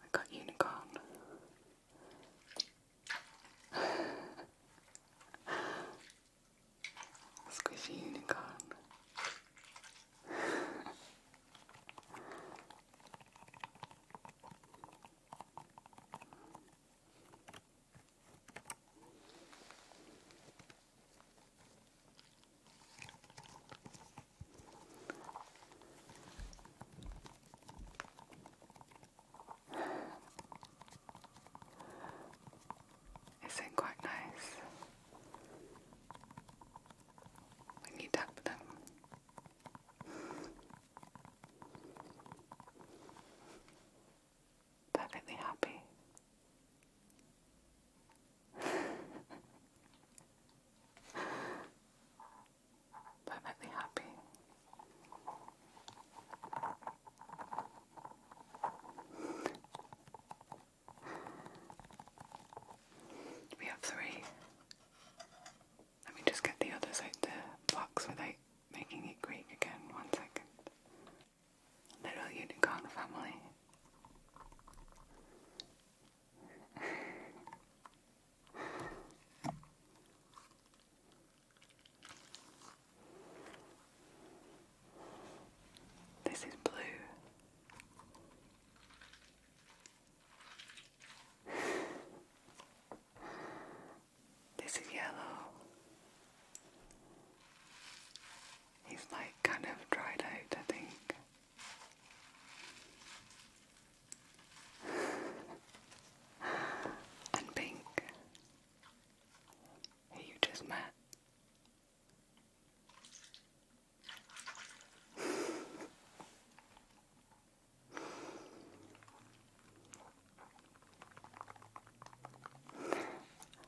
I got unicorn. Squishy unicorn. It's, not quite nice when you tap perfectly happy. perfectly happy. we have three. Let me just get the others out the box without making it Greek again. One second little unicorn family. this is blue. This is yellow. He's like kind of dried out, I think. and Pink, who you just met.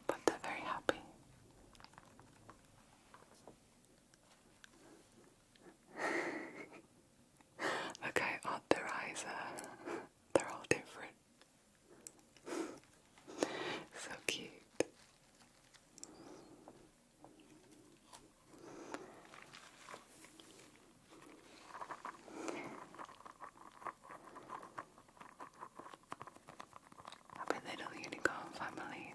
But they're very happy. Look odd their eyes are. They're all different. so cute. Happy little unicorn family.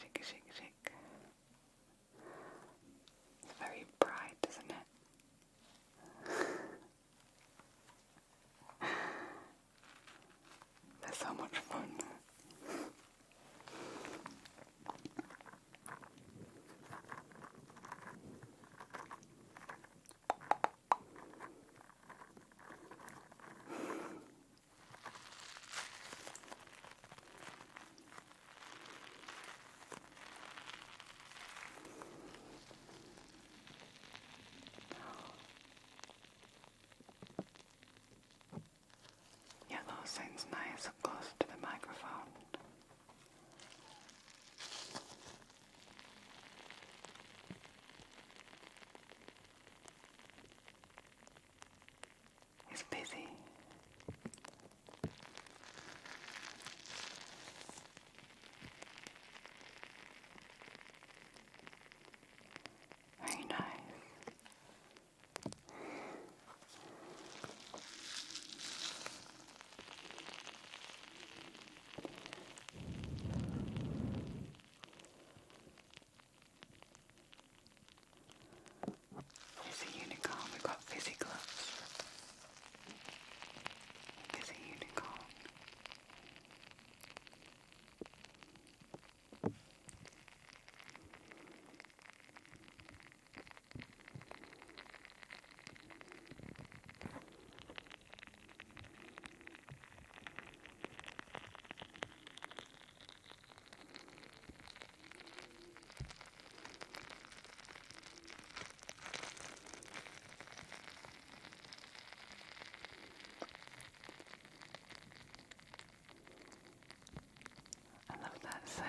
shake, shake, shake. It's very bright, isn't it? they so much fun. Yeah, those sounds nice close to the microphone. He's busy. Very nice. There's a unicorn. We've got fizzy gloves. There's a unicorn. I love that sound.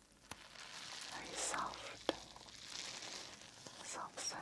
very soft, soft sound.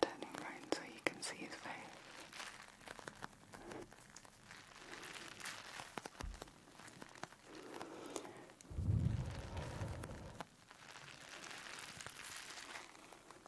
Turning round so you can see his face.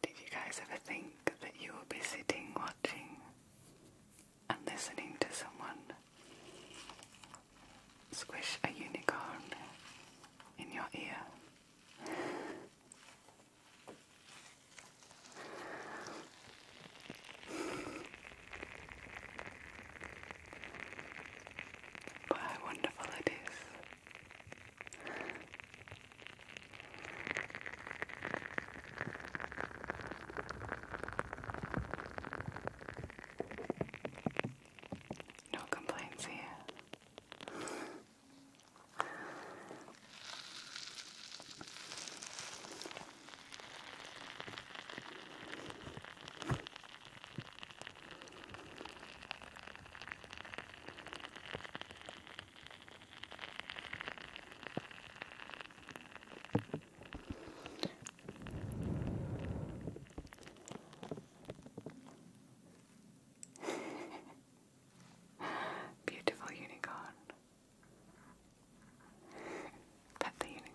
Did you guys ever think that you will be sitting watching and listening to someone squish a unicorn in your ear. But how wonderful it is. No complaints here. Beautiful unicorn. Pet the unicorn.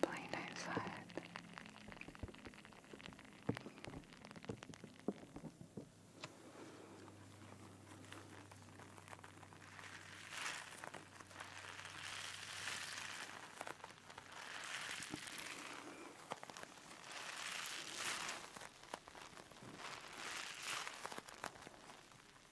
Play nice side. Good.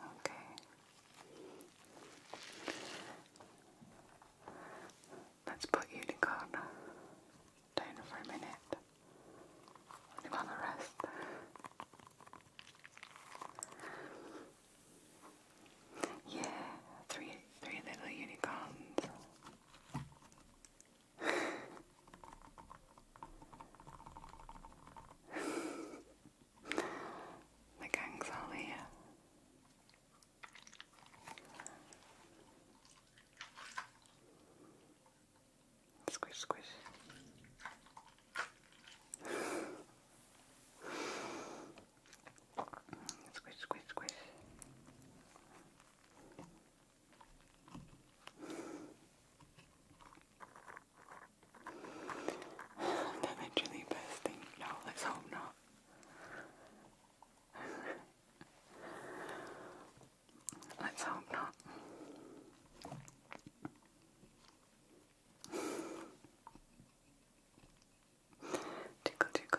Okay. Let's put unicorn down for a minute. You want rest? Yeah, three, three little unicorns. the gang's all here. Squish, squish. squish, squish, squish. That literally bursting. No, let's hope not. let's hope not. tickle, tickle.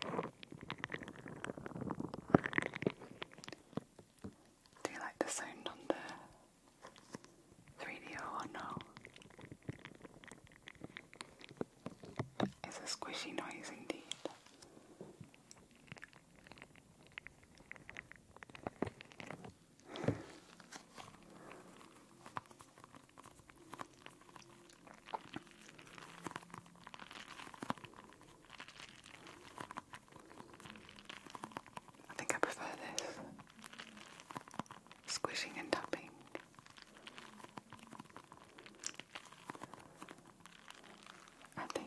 Do you like the sound on the 3 or no? It's a squishy noise indeed. I think I prefer this. Squishing and tapping. I think.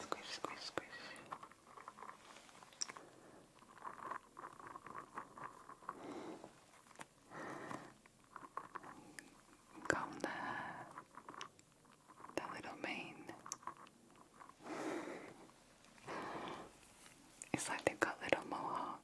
Squish, squish, squish. Comb the, the little mane. It's like they've got little mohawks.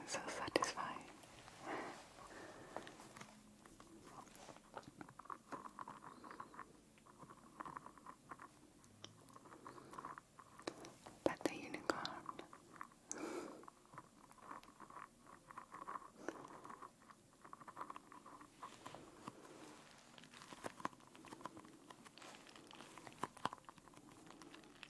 It's so satisfying. Pet the unicorn.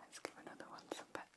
Let's give another one some pets.